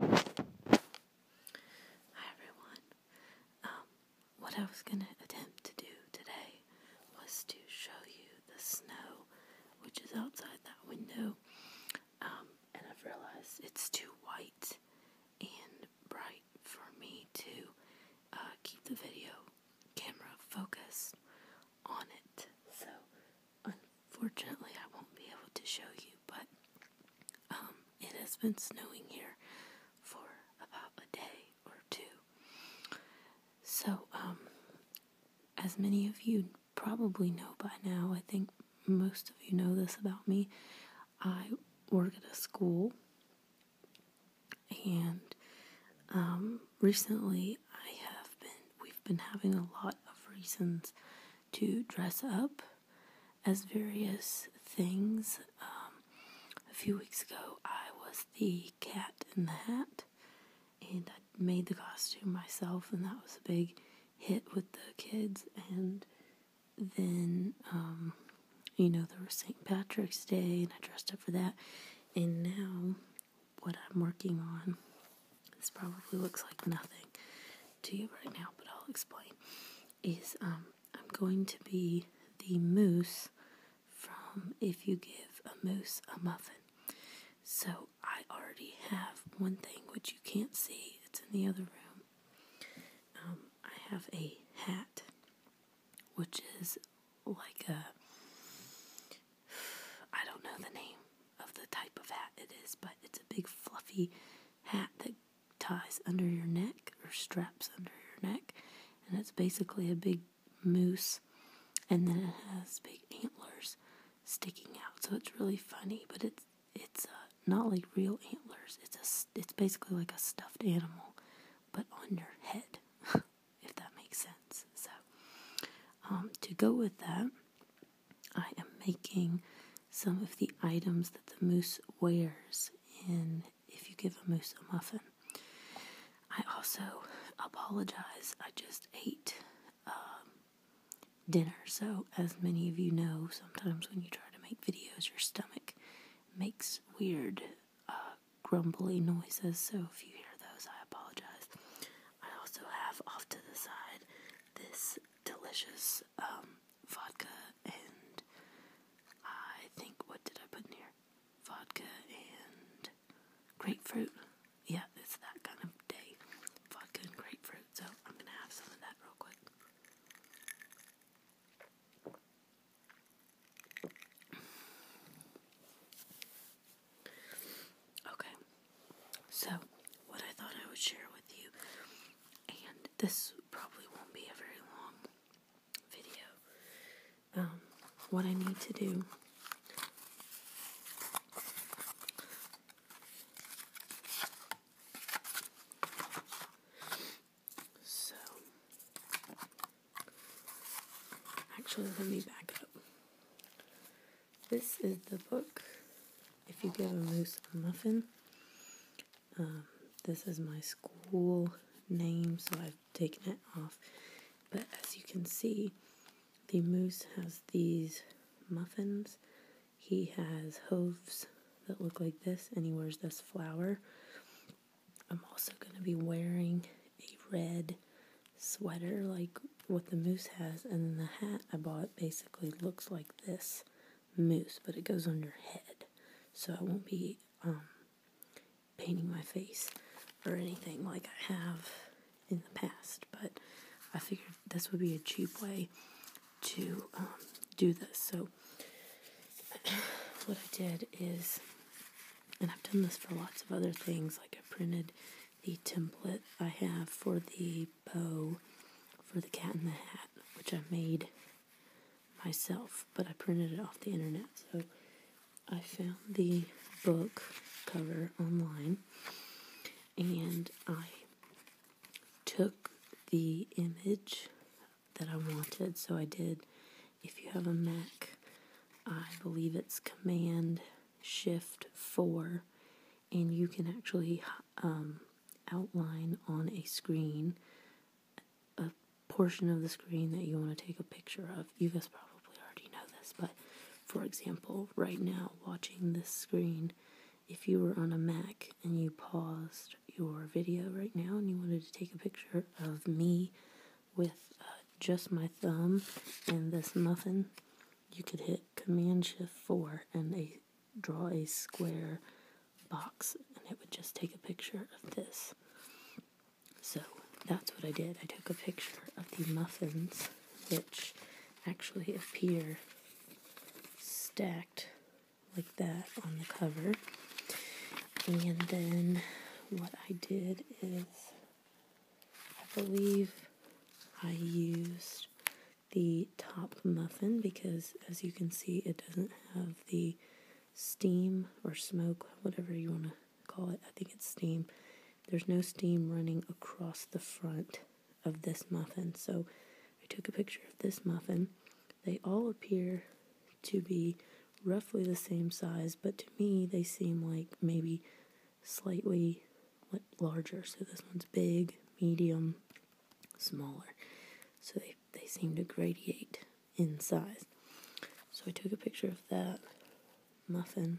Hi everyone. Um, what I was going to attempt to do today was to show you the snow which is outside that window. Um, and I've realized it's too white and bright for me to uh, keep the video camera focused on it. So, Fortunately, I won't be able to show you, but um, it has been snowing here for about a day or two. So, um, as many of you probably know by now, I think most of you know this about me. I work at a school, and um, recently I have been, we've been having a lot of reasons to dress up as various things. Um, a few weeks ago, I was the cat in the hat, and I made the costume myself, and that was a big hit with the kids. And then, um, you know, there was St. Patrick's Day, and I dressed up for that. And now, what I'm working on this probably looks like nothing to you right now, but I'll explain, is um, I'm going to be the moose from If You Give a Moose a Muffin. So I already have one thing which you can't see, it's in the other room. Um, I have a hat, which is like a, I don't know the name, of the type of hat it is, but it's a big fluffy hat that ties under your neck or straps under your neck, and it's basically a big moose, and then it has big antlers sticking out, so it's really funny, but it's it's uh, not like real antlers. It's a it's basically like a stuffed animal, but on your head, if that makes sense. So, um, to go with that, I am making some of the items that the moose wears in if you give a moose a muffin. I also apologize. I just ate um, dinner. So, as many of you know, sometimes when you try to make videos, your stomach makes weird uh, grumbly noises. So, if you hear those, I apologize. I also have off to the side this delicious um, vodka and I think what did I put in here? Vodka and grapefruit. Yeah, it's that kind of day. Vodka and grapefruit. So I'm gonna have some of that real quick. Okay, so, what I thought I would share with you, and this probably won't be a very long video, um, what I need to do so, actually, let me back up. This is the book. If you give a moose a muffin, um, this is my school name, so I've taken it off. But as you can see, the moose has these muffins. He has hooves that look like this, and he wears this flower. I'm also going to be wearing a red sweater, like what the moose has, and then the hat I bought basically looks like this moose, but it goes on your head, so I won't be um, painting my face or anything like I have in the past. But I figured this would be a cheap way to um, do this. So what I did is, and I've done this for lots of other things, like I printed the template I have for the bow for the cat in the hat, which I made myself, but I printed it off the internet. So I found the book cover online and I took the image that I wanted. So I did, if you have a Mac, I believe it's Command Shift 4 and you can actually um, outline on a screen a portion of the screen that you want to take a picture of. You guys probably already know this, but for example, right now, watching this screen, if you were on a Mac and you paused your video right now and you wanted to take a picture of me with uh, just my thumb and this muffin, you could hit Command Shift 4 and a, draw a square box, and it would just take a picture of this. So that's what I did. I took a picture of the muffins, which actually appear stacked like that on the cover. And then what I did is, I believe I used the top muffin because, as you can see, it doesn't have the steam or smoke, whatever you want to call it. I think it's steam. There's no steam running across the front of this muffin. So I took a picture of this muffin. They all appear to be roughly the same size, but to me, they seem like maybe slightly larger. So this one's big, medium, smaller. So they, they seem to gradiate in size. So I took a picture of that muffin.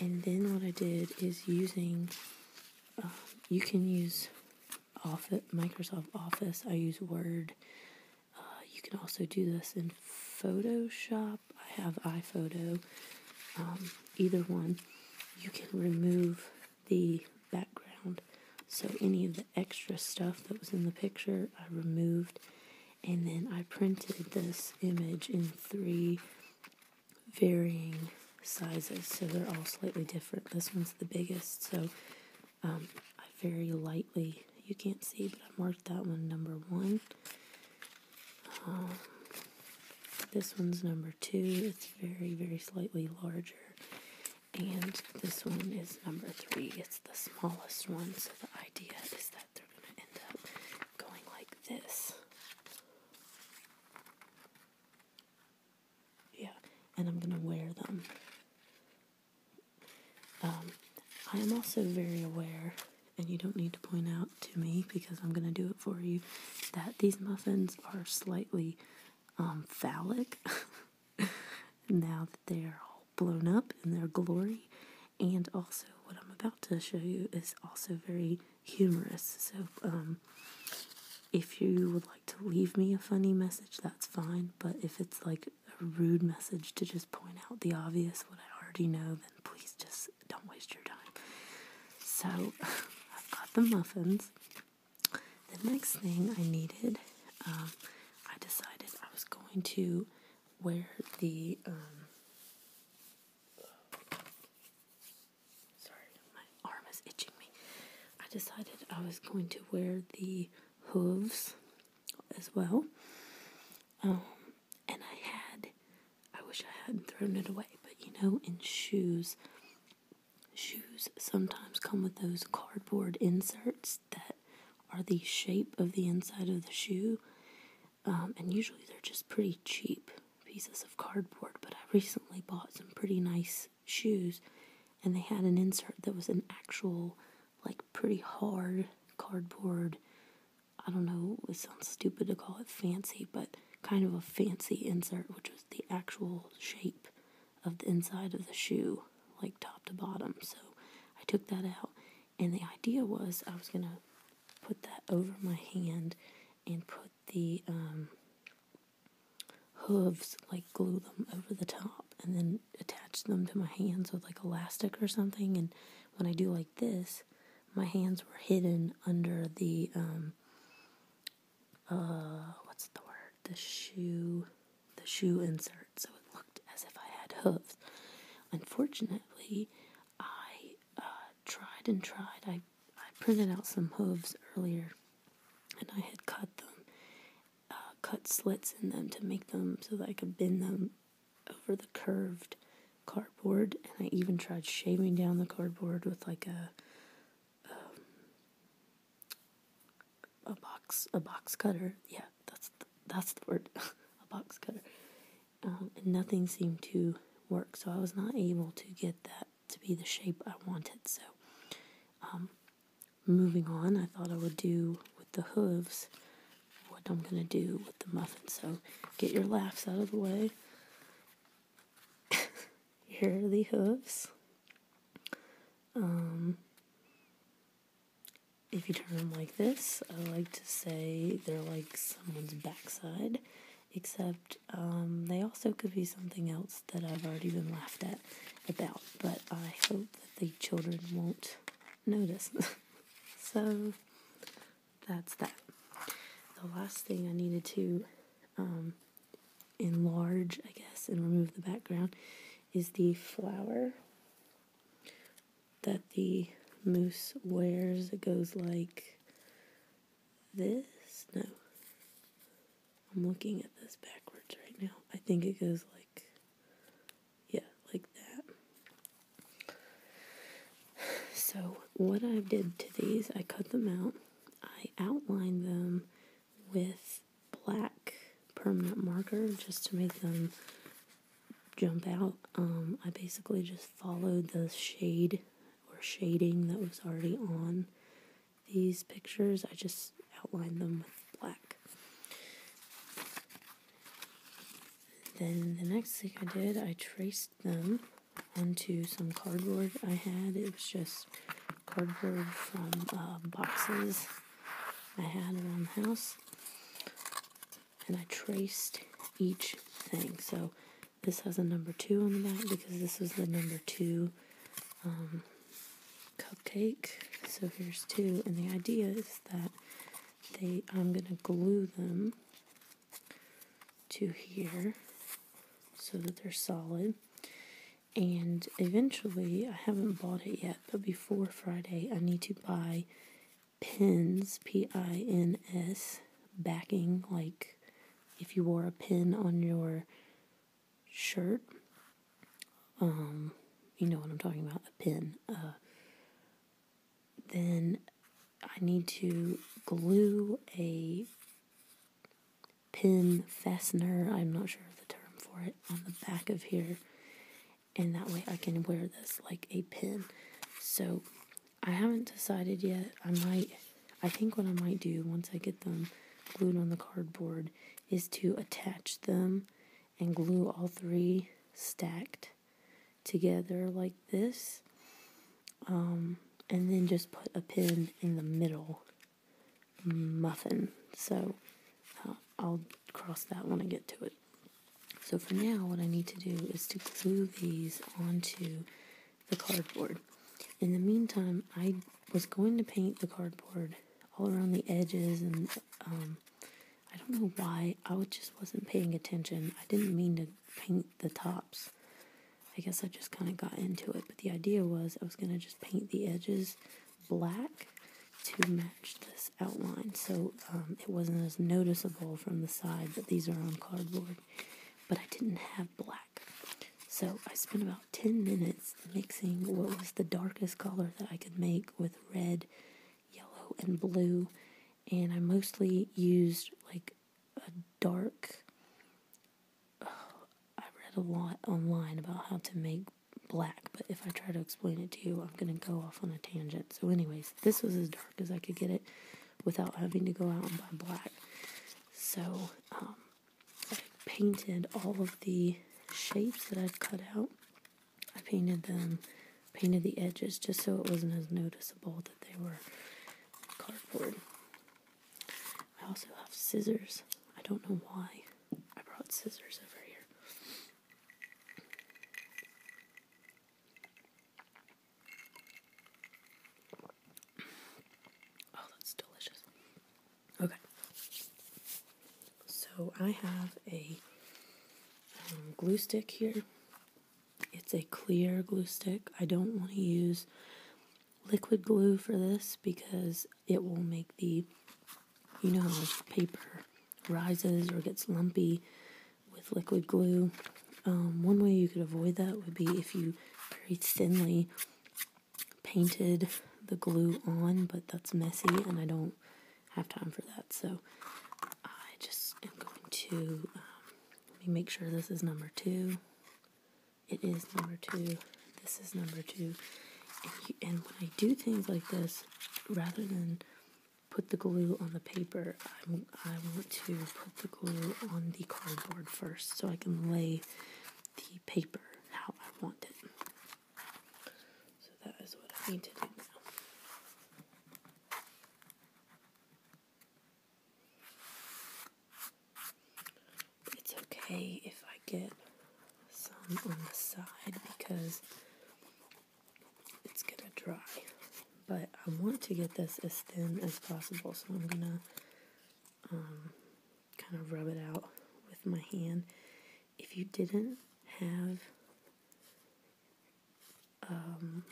And then what I did is using, um, you can use Office, Microsoft Office. I use Word. Uh, you can also do this in Photoshop. I have iPhoto. Um, either one, you can remove the background. So any of the extra stuff that was in the picture, I removed. And then I printed this image in three varying sizes. So they're all slightly different. This one's the biggest. So um, I very lightly, you can't see, but I marked that one number one. Um, this one's number two. It's very, very slightly larger. And this one is number three. It's the smallest one. So the idea is that they're going to end up going like this. Yeah, and I'm going to wear them. Um, I am also very aware and you don't need to point out to me because I'm going to do it for you that these muffins are slightly um, phallic now that they're all blown up in their glory. And also, what I'm about to show you is also very humorous. So, um, if you would like to leave me a funny message, that's fine. But if it's like a rude message to just point out the obvious, what I already know, then please just don't waste your time. So I've got the muffins. The next thing I needed, um, I decided I was going to wear the. Um, sorry, my arm is itching me. I decided I was going to wear the hooves as well. Um, and I had, I wish I hadn't thrown it away, but you know, in shoes, shoes sometimes come with those cardboard inserts that are the shape of the inside of the shoe, um, and usually they're just pretty cheap pieces of cardboard. But I recently bought some pretty nice shoes, and they had an insert that was an actual, like, pretty hard cardboard I don't know, it sounds stupid to call it fancy, but kind of a fancy insert, which was the actual shape of the inside of the shoe, like top to bottom. So I took that out, and the idea was I was gonna put that over my hand and put the um, hooves, like glue them over the top, and then attach them to my hands with like elastic or something. And when I do like this, my hands were hidden under the um, uh, what's the word? The shoe, the shoe insert. So it looked as if I had hooves. Unfortunately, I uh, tried and tried. I I printed out some hooves earlier, and I had cut them, uh, cut slits in them to make them so that I could bend them over the curved cardboard, and I even tried shaving down the cardboard with like a a box a box cutter. Yeah, that's the, that's the word, a box cutter. Um, and nothing seemed to work, so I was not able to get that to be the shape I wanted. So, um, moving on, I thought I would do with the hooves what I'm gonna do the muffin, so get your laughs out of the way. Here are the hooves. Um, if you turn them like this, I like to say they're like someone's backside, except um, they also could be something else that I've already been laughed at about, but I hope that the children won't notice. so, that's that. The last thing I needed to um, enlarge, I guess, and remove the background is the flower that the moose wears. It goes like this. No. I'm looking at this backwards right now. I think it goes like, yeah, like that. So, what I did to these, I cut them out. I outlined them with black permanent marker just to make them jump out. Um, I basically just followed the shade or shading that was already on these pictures. I just outlined them with black. Then the next thing I did, I traced them onto some cardboard I had. It was just cardboard from um, boxes I had around the house. And I traced each thing. So this has a number two on the back because this was the number two um, cupcake. So here's two. And the idea is that I'm going to glue them to here so that they're solid. And eventually, I haven't bought it yet, but before Friday, I need to buy pins, P I N S, backing, like if you wore a pin on your shirt. Um, you know what I'm talking about, a pin, uh, then I need to glue a pin fastener, I'm not sure of the term for it, on the back of here. And that way I can wear this like a pin. So I haven't decided yet. I might, I think what I might do once I get them glued on the cardboard is to attach them and glue all three stacked together like this. Um, and then just put a pin in the middle muffin. So uh, I'll cross that when I get to it. So for now, what I need to do is to glue these onto the cardboard. In the meantime, I was going to paint the cardboard all around the edges and um, I don't know why. I just wasn't paying attention. I didn't mean to paint the tops. I guess I just kind of got into it. But the idea was I was going to just paint the edges black to match this outline. So um, it wasn't as noticeable from the side that these are on cardboard. But I didn't have black. So I spent about 10 minutes mixing what was the darkest color that I could make with red, yellow, and blue and I mostly used like a dark. I read a lot online about how to make black, but if I try to explain it to you, I'm gonna go off on a tangent. So, anyways, this was as dark as I could get it without having to go out and buy black. So, um, I painted all of the shapes that I'd cut out. I painted them painted the edges just so it wasn't as noticeable that they were cardboard. I also have scissors. I don't know why I brought scissors over here. Oh, that's delicious. Okay. So I have a um, glue stick here. It's a clear glue stick. I don't want to use liquid glue for this because it will make the, you know, how paper rises or gets lumpy with liquid glue. Um, one way you could avoid that would be if you very thinly painted the glue on, but that's messy and I don't have time for that. So I just am going to um, make sure this is number two. It is number two. This is number two. And, and when I do things like this, rather than put the glue on the paper, I'm, I want to put the glue on the cardboard first so I can lay the paper how I want it. So that is what I need to do now. It's okay if I get some on the side because it's gonna dry. But I want to get this as thin as possible, so I'm gonna um, kind of rub it out with my hand. If you didn't have um,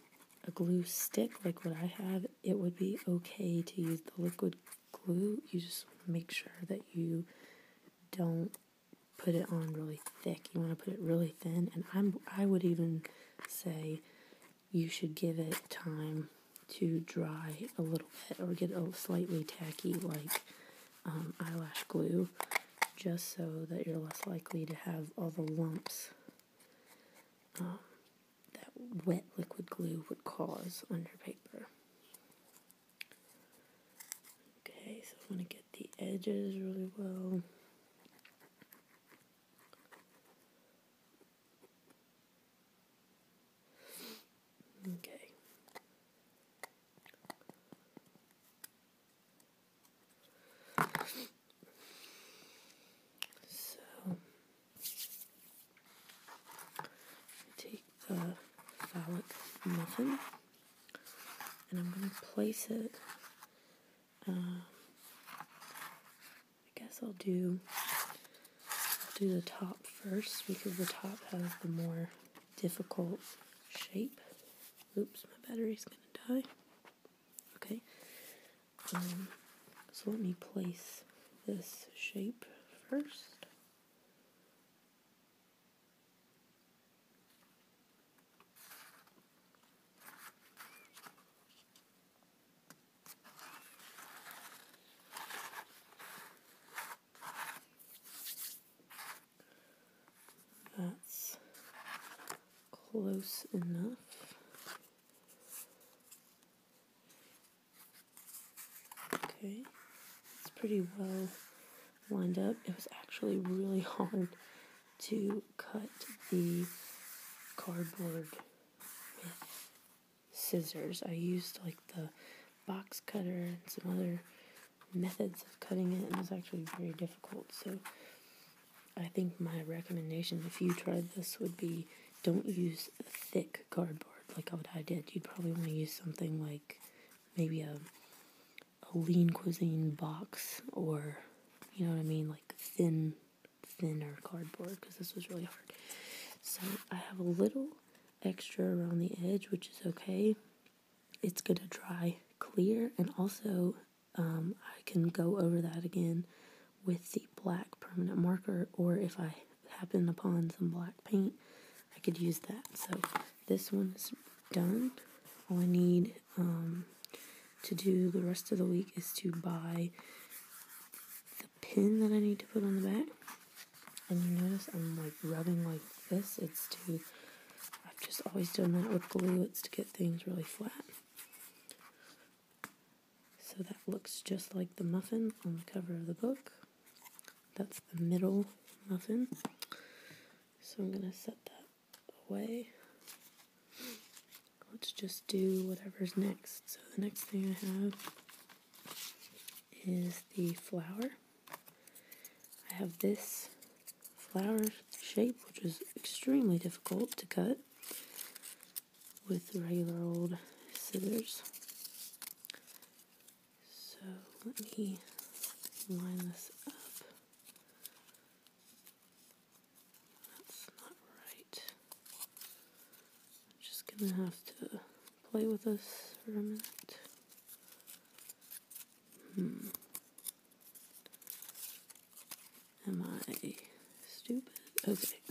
a glue stick like what I have, it would be okay to use the liquid glue. You just make sure that you don't put it on really thick. You want to put it really thin, and I'm I would even say you should give it time to dry a little bit or get a slightly tacky like um, eyelash glue just so that you're less likely to have all the lumps um, that wet liquid glue would cause on your paper. Okay, so I'm going to get the edges really well. Okay. So take the phallic muffin and I'm going to place it. Um, I guess I'll do do the top first because the top has the more difficult shape. Oops, my battery's going to die. Okay, um, so let me place this shape first. That's close enough. Okay, it's pretty well lined up. It was actually really hard to cut the cardboard with scissors. I used like the box cutter and some other methods of cutting it, and it was actually very difficult. So I think my recommendation, if you tried this, would be don't use thick cardboard like I did. You'd probably want to use something like maybe a, a lean cuisine box or, you know what I mean, like thin, thinner cardboard because this was really hard. So I have a little extra around the edge, which is okay. It's going to dry clear and also um, I can go over that again with the black permanent marker, or if I happen upon some black paint, I could use that. So this one is done. All I need um, to do the rest of the week is to buy the pin that I need to put on the back. And you notice I'm like rubbing like this. It's to I've just always done that with glue. It's to get things really flat. So that looks just like the muffin on the cover of the book. That's the middle muffin. So I'm going to set that away. Let's just do whatever's next. So the next thing I have is the flower. I have this flower shape, which is extremely difficult to cut with regular old scissors. So let me line this up. That's not right. I'm just gonna have to play with this for a minute. Hmm. Am I stupid? Okay.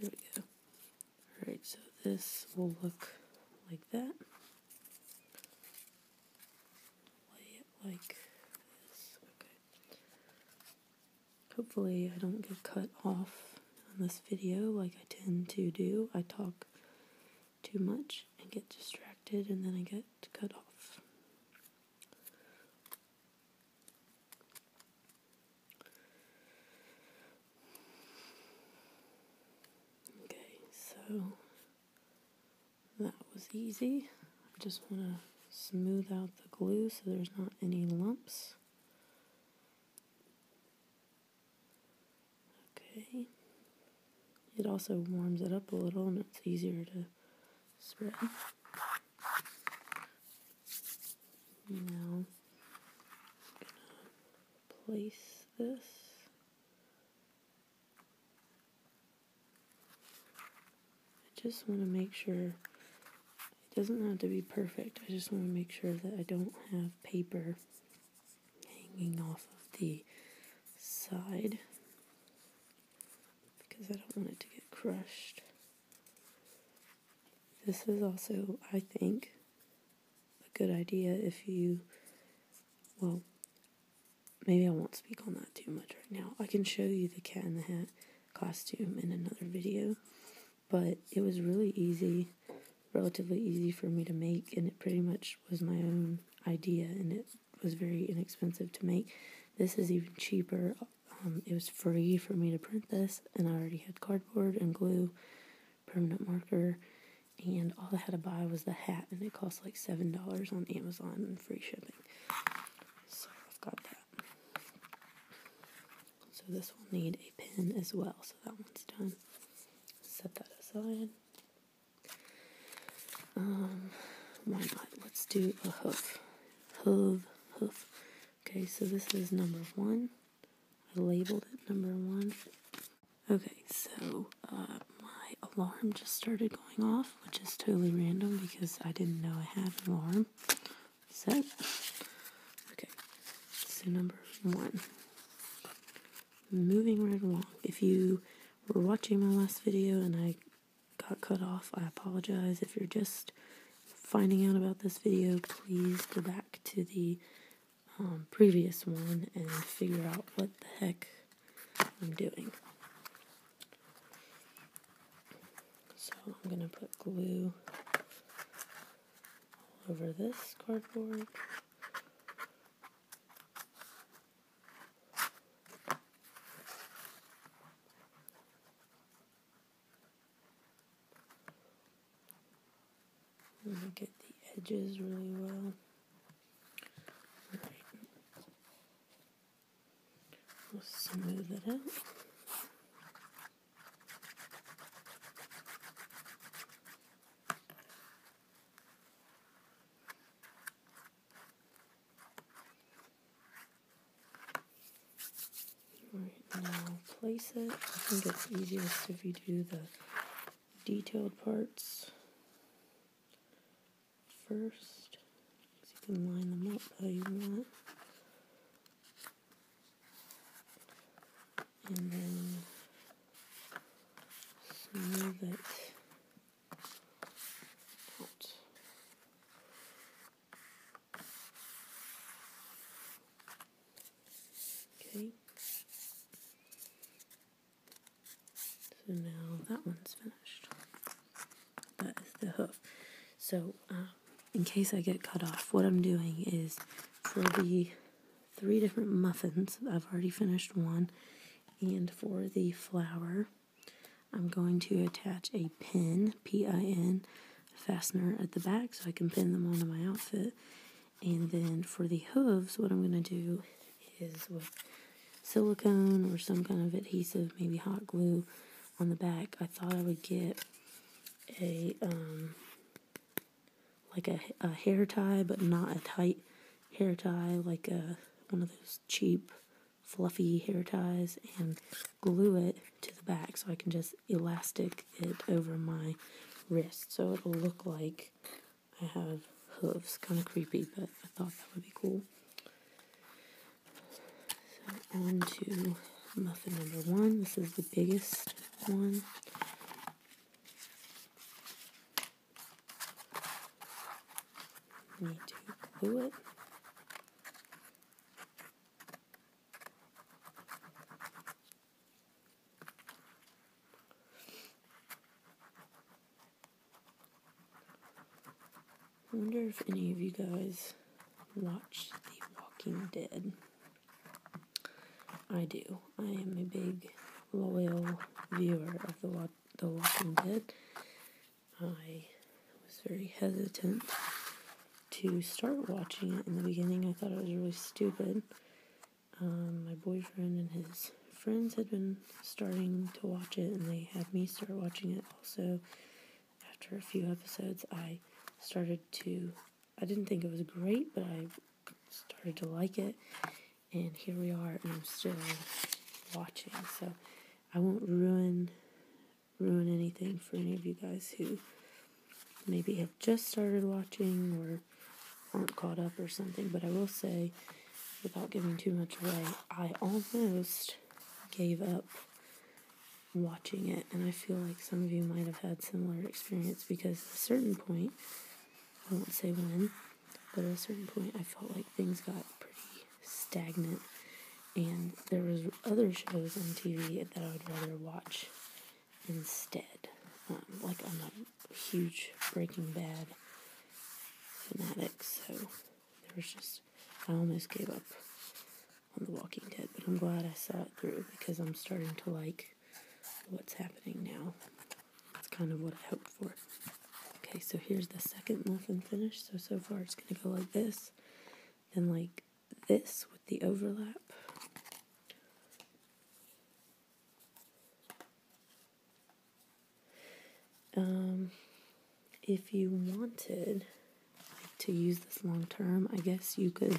there we go. Alright, so this will look like that. like this. Okay. Hopefully I don't get cut off on this video like I tend to do. I talk too much and get distracted, and then I get cut off. Okay, so that was easy. I just want to smooth out the glue so there's not any lumps. Okay. It also warms it up a little and it's easier to spread. Now, gonna place this. I just want to make sure it doesn't have to be perfect. I just want to make sure that I don't have paper hanging off of the side because I don't want it to get crushed. This is also, I think, a good idea if you, well, maybe I won't speak on that too much right now. I can show you the cat in the hat costume in another video, but it was really easy, relatively easy for me to make, and it pretty much was my own idea, and it was very inexpensive to make. This is even cheaper. Um, it was free for me to print this, and I already had cardboard and glue, permanent marker, and all I had to buy was the hat, and it cost like $7 on Amazon and free shipping. So I've got that. So this will need a pin as well, so that one's done. Set that aside. Um, why not? Let's do a hoof. Hoof, hoof. Okay, so this is number one. I labeled it number one. Okay, so uh, my alarm just started going off, which is totally random because I didn't know I had an alarm. So, okay, so number one moving right along. If you were watching my last video and I got cut off, I apologize. If you're just finding out about this video, please go back to the um, previous one and figure out what the heck I'm doing. So I'm going to put glue all over this cardboard. Look at the edges really well. Right. We'll smooth it out. Alright, now place it. I think it's easiest if you do the detailed parts first. So you can line them up how you want. And then smooth it Okay. So now that one's finished. That is the hoof. So, um, in case I get cut off, what I'm doing is for the three different muffins, I've already finished one and for the flower, I'm going to attach a pin, P I N, fastener at the back so I can pin them onto my outfit. And then for the hooves, what I'm going to do is with silicone or some kind of adhesive, maybe hot glue on the back, I thought I would get a um, like a, a hair tie, but not a tight hair tie, like a, one of those cheap, fluffy hair ties, and glue it to the back so I can just elastic it over my wrist. So it'll look like I have hooves. Kind of creepy, but I thought that would be cool. So on to muffin number one. This is the biggest one. Need to do it. I wonder if any of you guys watch The Walking Dead. I do. I am a big, loyal viewer of The, the Walking Dead. I was very hesitant to start watching it in the beginning. I thought it was really stupid. Um, my boyfriend and his friends had been starting to watch it, and they had me start watching it also. After a few episodes, I started to. I didn't think it was great, but I started to like it and here we are and I'm still watching so I won't ruin ruin anything for any of you guys who maybe have just started watching or aren't caught up or something but I will say without giving too much away I almost gave up watching it and I feel like some of you might have had similar experience because a certain point I won't say when but at a certain point, I felt like things got pretty stagnant, and there was other shows on TV that I would rather watch instead. Um, like I'm a huge Breaking Bad fanatic, so there was just I almost gave up on The Walking Dead, but I'm glad I saw it through because I'm starting to like what's happening now. That's kind of what I hoped for. Okay, so here's the second muffin finish. So, so far it's going to go like this, then like this with the overlap. Um, if you wanted like, to use this long term, I guess you could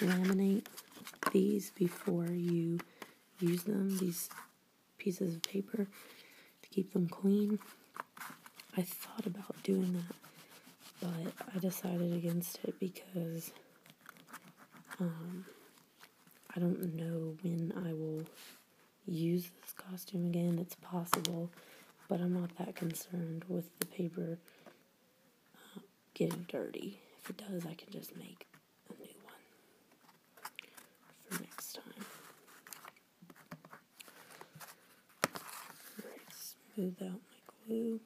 laminate these before you use them, these pieces of paper, to keep them clean. I thought about doing that, but I decided against it because um, I don't know when I will use this costume again. It's possible, but I'm not that concerned with the paper uh, getting dirty. If it does, I can just make a new one for next time. Alright, smooth out my glue.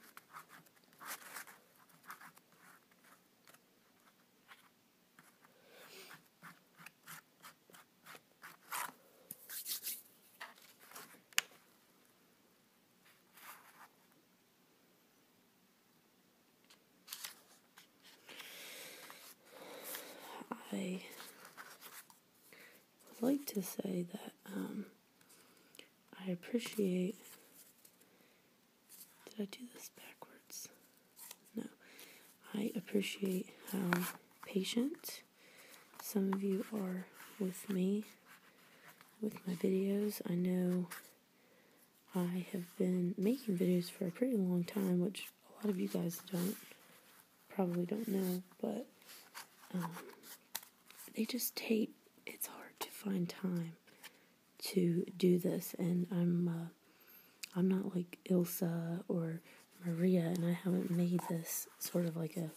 I would like to say that um, I appreciate. Did I do this backwards? No. I appreciate how patient some of you are with me, with my videos. I know I have been making videos for a pretty long time, which a lot of you guys don't probably don't know, but um, they just take it's hard to find time to do this, and I'm uh, I'm not like Ilsa or Maria, and I haven't made this sort of like a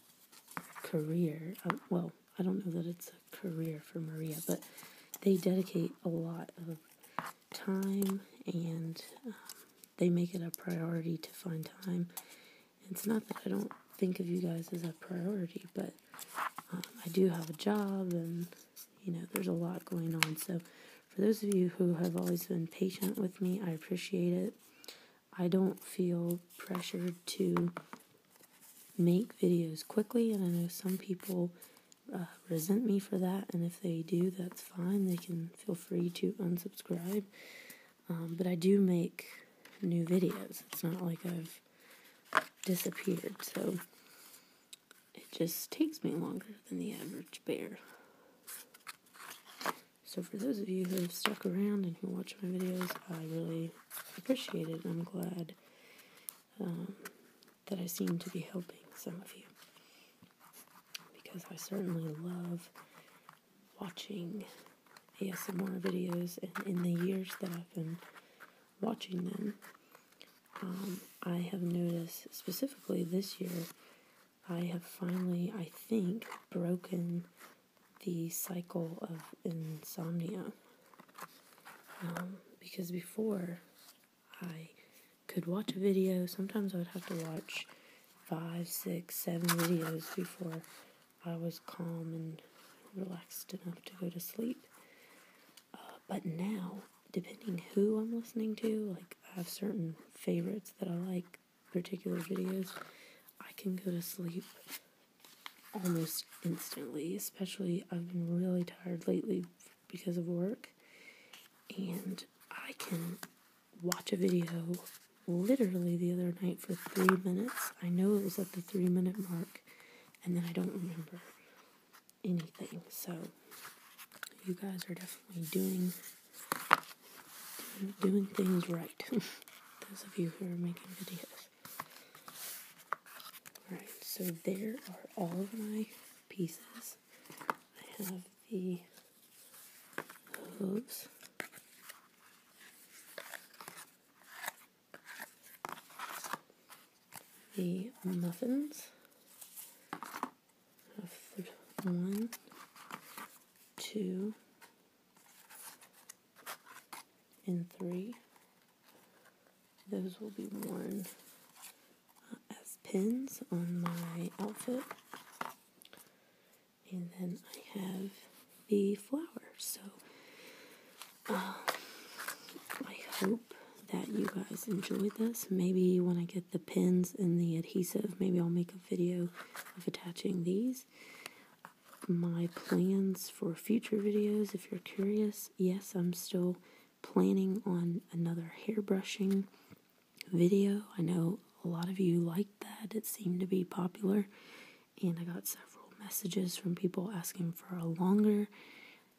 career. Uh, well, I don't know that it's a career for Maria, but they dedicate a lot of time and um, they make it a priority to find time. It's not that I don't think of you guys as a priority, but um, I do have a job and you know there's a lot going on. So for those of you who have always been patient with me, I appreciate it. I don't feel pressured to make videos quickly, and I know some people uh, resent me for that, and if they do, that's fine. They can feel free to unsubscribe. Um, but I do make new videos. It's not like I've disappeared, so it just takes me longer than the average bear. So for those of you who have stuck around and who watch my videos, I really appreciate it. I'm glad um, that I seem to be helping some of you. Because I certainly love watching ASMR videos, and in the years that I've been watching them, um, I have noticed specifically this year, I have finally, I think, broken the cycle of insomnia. Um, because before I could watch a video, sometimes I would have to watch five, six, seven videos before I was calm and relaxed enough to go to sleep. Uh, but now, depending who I'm listening to, like I have certain favorites that I like, particular videos, I can go to sleep almost instantly, especially I've been really tired lately because of work. And I can watch a video literally the other night for three minutes. I know it was at the three minute mark, and then I don't remember anything. So, you guys are definitely doing doing things right. Those of you who are making videos. Alright, so there are all of my pieces. I have the hooves. The muffins. One, two, and three. Those will be worn uh, as pins on my outfit. And then I have the flowers. So um, I hope that you guys enjoyed this. Maybe when I get the pins and the adhesive, maybe I'll make a video of attaching these. My plans for future videos, if you're curious, yes, I'm still planning on another hair brushing video. I know a lot of you liked that, it seemed to be popular, and I got several messages from people asking for a longer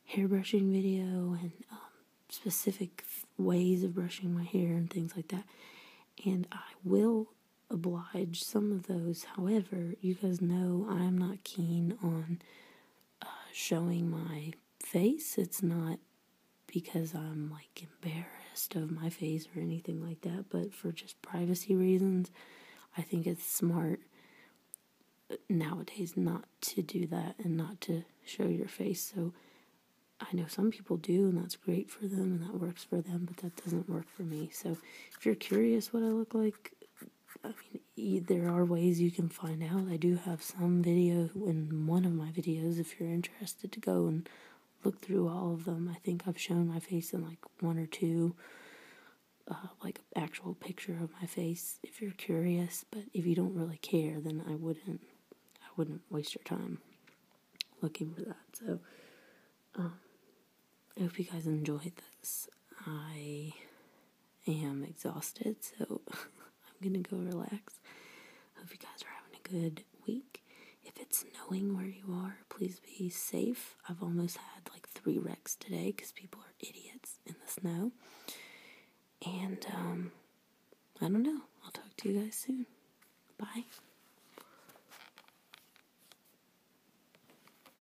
hair brushing video and um, specific ways of brushing my hair and things like that. And I will oblige some of those. However, you guys know I'm not keen on uh, showing my face. It's not because I'm like embarrassed of my face or anything like that, but for just privacy reasons, I think it's smart uh, nowadays not to do that and not to show your face. So I know some people do, and that's great for them and that works for them, but that doesn't work for me. So if you're curious what I look like, I mean, there are ways you can find out. I do have some video in one of my videos if you're interested to go and look through all of them. I think I've shown my face in like one or two, uh, like actual picture of my face if you're curious. But if you don't really care, then I wouldn't, I wouldn't waste your time looking for that. So, um, I hope you guys enjoyed this. I am exhausted, so I'm gonna go relax. Hope you guys are having a good week. If it's snowing where you are, please be safe. I've almost had like three wrecks today because people are idiots in the snow. And um, I don't know. I'll talk to you guys soon. Bye.